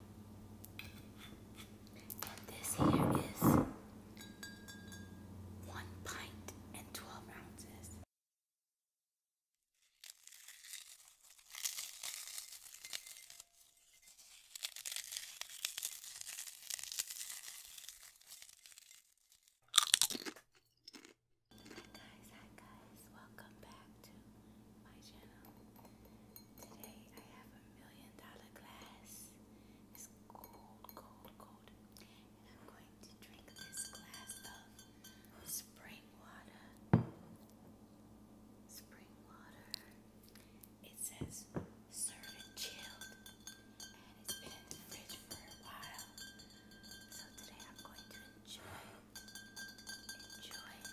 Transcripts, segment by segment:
And this here is one pint and 12 ounces. Hi guys, hi guys, welcome back to my channel. Today I have a million dollar glass. It's cold, cold, cold. And I'm going to drink this glass of spring water. Spring water. It says serve it chilled. And it's been in the fridge for a while. So today I'm going to enjoy Enjoy it.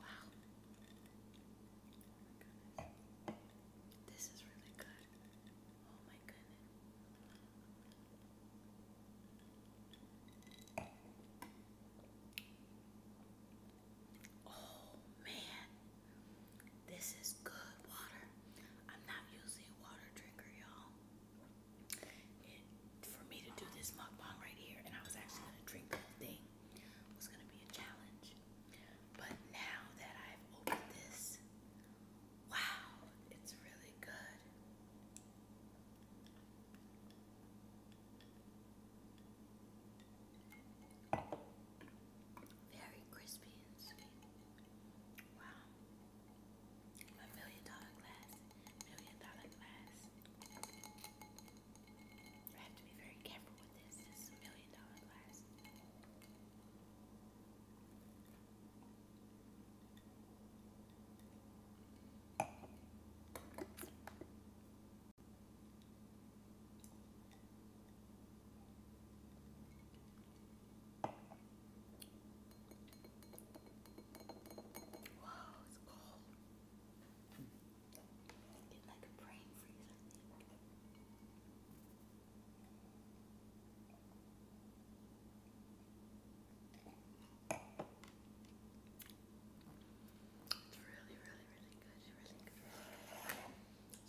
Wow. This is really good. Oh my goodness. Oh man. This is good water. I'm not usually a water drinker, y'all for me to do this mukbang right here, and I was actually going to drink the thing, was going to be a challenge. But now that I've opened this, wow, it's really good. Very crispy and sweet. Wow. A million dollar glass, million dollar glass. I have to be very careful with this. This is a million dollar glass. Wow, it's cold. It's like a brain freeze, It's really, really, really good.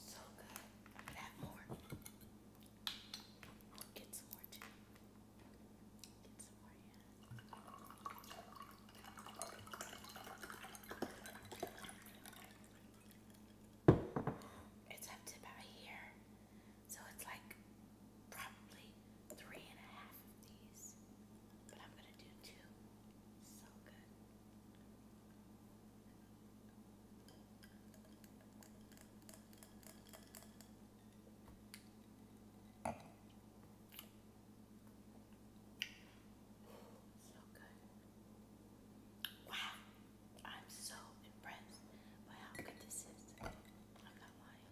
So good. Add more i more too. more, yeah. It's up to about here. So it's like probably three and a half of these. But I'm gonna do two. So good. So good. Wow. I'm so impressed by how good this is. I'm not lying.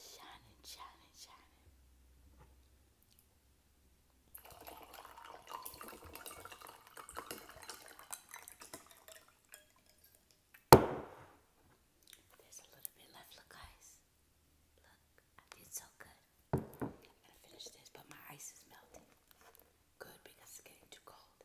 Shining, shining, shining. There's a little bit left, look guys. Look, I did so good. gonna finish this, but my ice is melting. Good because it's getting too cold.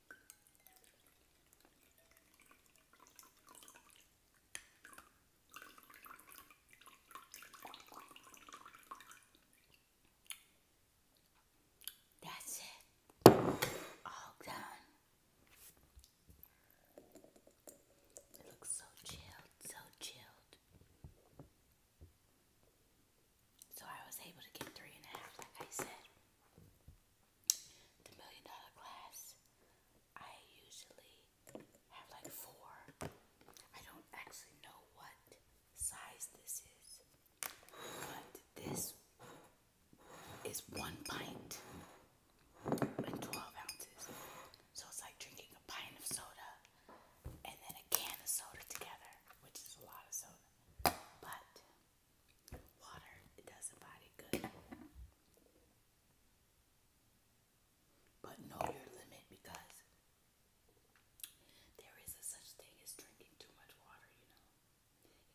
That's it. All done. It looks so chilled, so chilled. So I was able to get three and a half, like I said the million dollar glass, I usually have like four. I don't actually know what size this is, but this is one pint and 12 ounces. So it's like drinking a pint of soda and then a can of soda together, which is a lot of soda. But Water, it does the body good. But know your limit because there is such thing as drinking too much water, you know.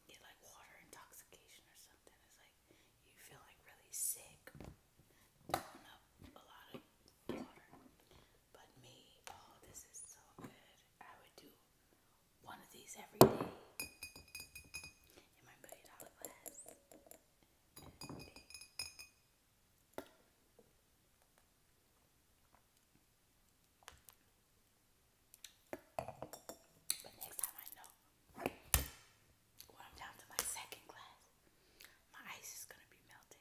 You get like water intoxication or something. It's like you feel like really sick. Throwing up a lot of water. But me, oh this is so good. I would do one of these every day. You might put it out But next time I know when I'm down to my second glass, my ice is gonna be melting.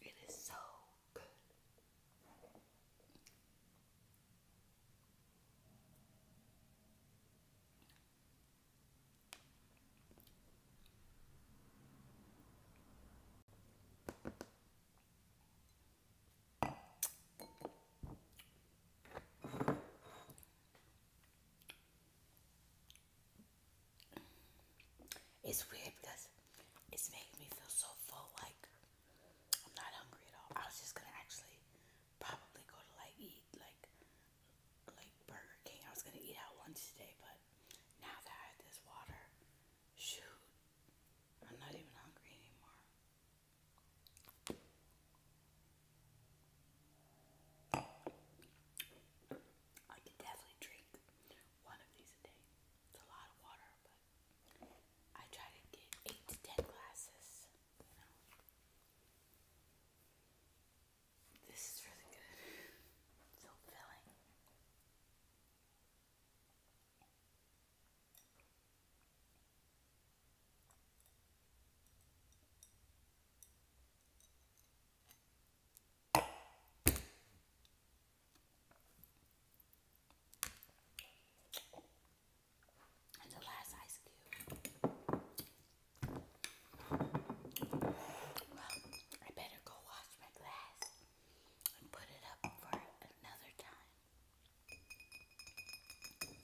It is so it's weird because it's making me feel so full, like I'm not hungry at all. I was just gonna actually probably go to like eat like like Burger King. I was gonna eat out lunch today, but now that I had this water, shoot, I'm not even hungry anymore. I could definitely drink one of these a day. It's a lot of water, I try to get eight to ten glasses, This is really good. so filling. And the last ice cube. Well, I better go wash my glass and put it up for another time.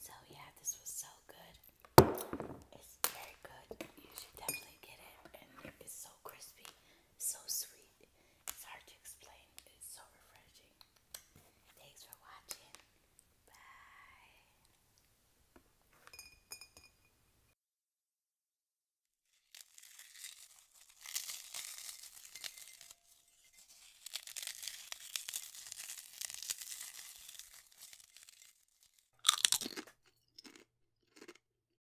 So, yeah, this was so good. It's very good. You should definitely get it. And it's so crispy, so sweet. It's hard to explain, it's so refreshing. Thanks for watching. Bye.